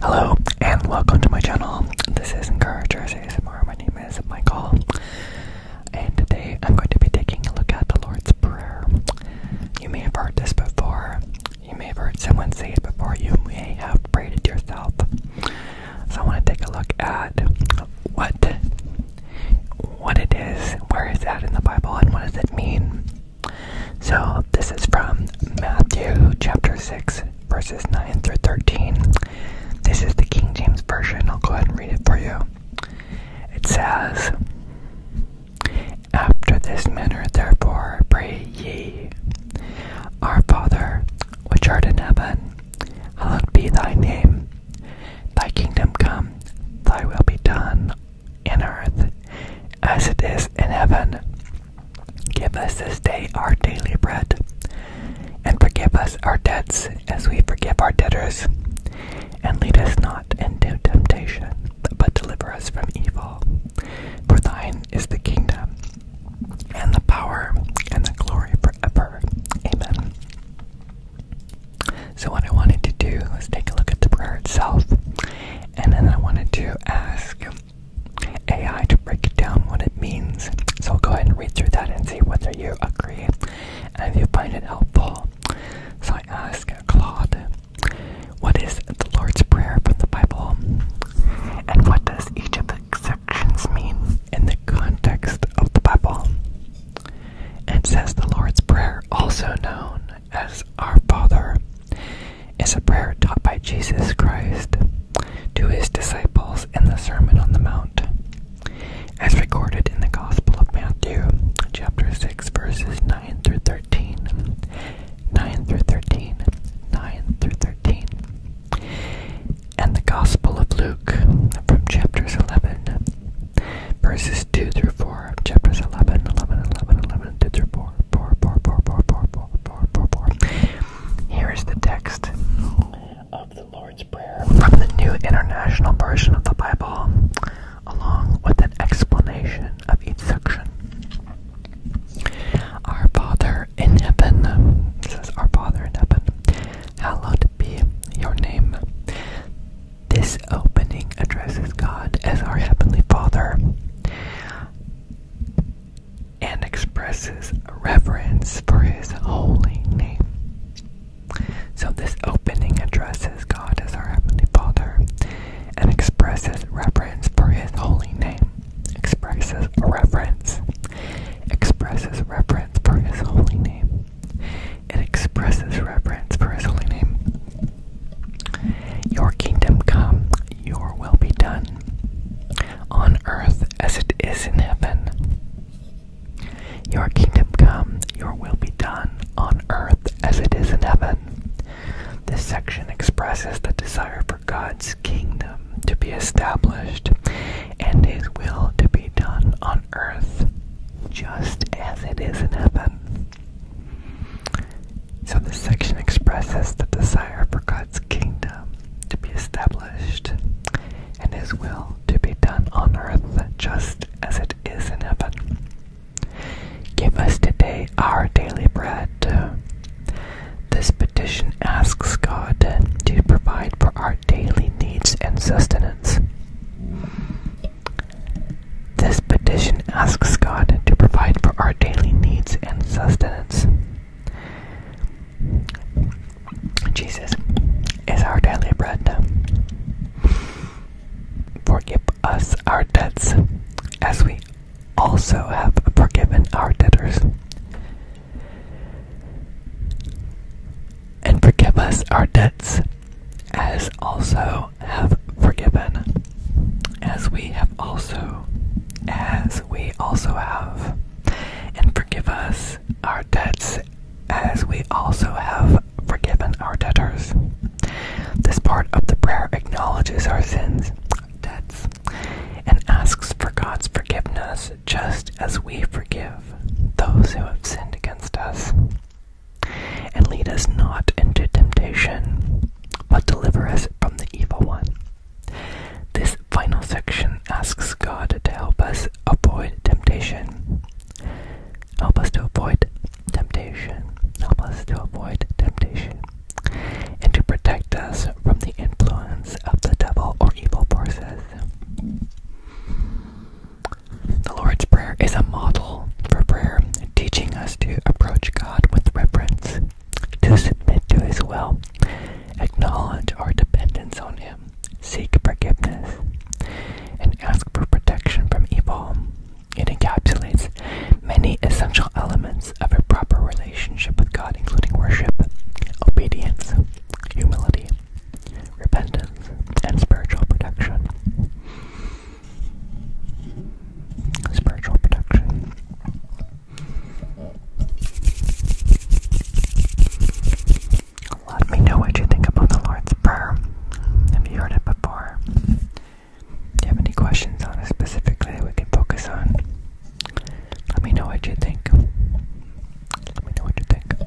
Hello and welcome to my channel. This is encouragement, Encouragers ASMR. My name is Michael, and today I'm going to be taking a look at the Lord's Prayer. You may have heard this before. You may have heard someone say it before. You may have prayed it yourself. So I want to take a look at what what it is, where is that in the Bible, and what does it mean? So this is from Matthew chapter 6, verses 9 through 13. This is the King James Version. I'll go ahead and read it for you. It says, After this manner, therefore, pray ye, Our Father, which art in heaven, hallowed be thy name. Thy kingdom come, thy will be done, in earth, as it is in heaven. Give us this day our daily bread, and forgive us our debts as we forgive our debtors. And lead us not into temptation, but deliver us from evil. For thine is the kingdom, and the power, and the glory ever. Amen. So, what I wanted to do was take a look at the prayer itself, and then I wanted to ask AI to break down what it means. So go ahead and read through that and see whether you agree and if you find it helpful. So I ask Claude, what is the Lord's Prayer from the Bible? And what does each of the sections mean in the context of the Bible? And says the Lord's Prayer, also known as Our Father is a prayer taught by Jesus Christ to his disciples in the Sermon on the Mount, as recorded in the Gospel of Matthew, chapter 6, verses 9 through 13. 9 through 13. 9 through 13. And the Gospel of Luke from chapters 11, verses 2 through 4. Chapters 11, 11, 11, 11, 2 through 4. Here is the text of the Lord's Prayer from the New International Version of the Bible, along with an explanation of each section. Our Father in heaven, says our Father in heaven, hallowed be your name. This opening addresses God as our Heavenly Father and expresses reverence for his holy name. So, this opening addresses God as our Heavenly Father and expresses reverence for his holy name. Expresses reverence. Expresses reverence for his holy name. It expresses reverence for his holy name. Your kingdom come, your will be done, on earth as it is in heaven. Your kingdom come, your will be done, on earth as it is in heaven. This section expresses the desire for God's kingdom to be established and His will to be done on earth just as it is in heaven. So, this section expresses the desire for God's kingdom to be established and His will to be done on earth just as it is in heaven. Give us today our daily bread. This petition asks God to provide for our daily needs and sustenance. This petition asks God to provide for our daily needs and sustenance. Jesus is our daily bread. Forgive us our debts as we also have forgiven our debtors. And forgive us our debts as also have forgiven, as we have also, as we also have, and forgive us our debts, as we also have forgiven our debtors. This part of the prayer acknowledges our sins, debts, and asks for God's forgiveness just as we forgive those who have sinned against us. And lead us not into temptation, but deliver us from the evil one. This final section asks God to help us avoid temptation. Help us to avoid temptation. Help us to avoid temptation. And to protect us from the influence of the devil or evil forces. The Lord's Prayer is a model for prayer, teaching us to approach God with reverence, to submit to His will, acknowledge our dependence on Him, seek forgiveness, and ask for protection from evil. It encapsulates many essential elements of a proper relationship with God, including worship, obedience, humility, repentance, and spiritual protection spiritual protection. Let me know what you think about the Lord's Prayer. Have you heard it before? Do you have any questions on it specifically that we can focus on? Let me know what you think. Let me know what you think.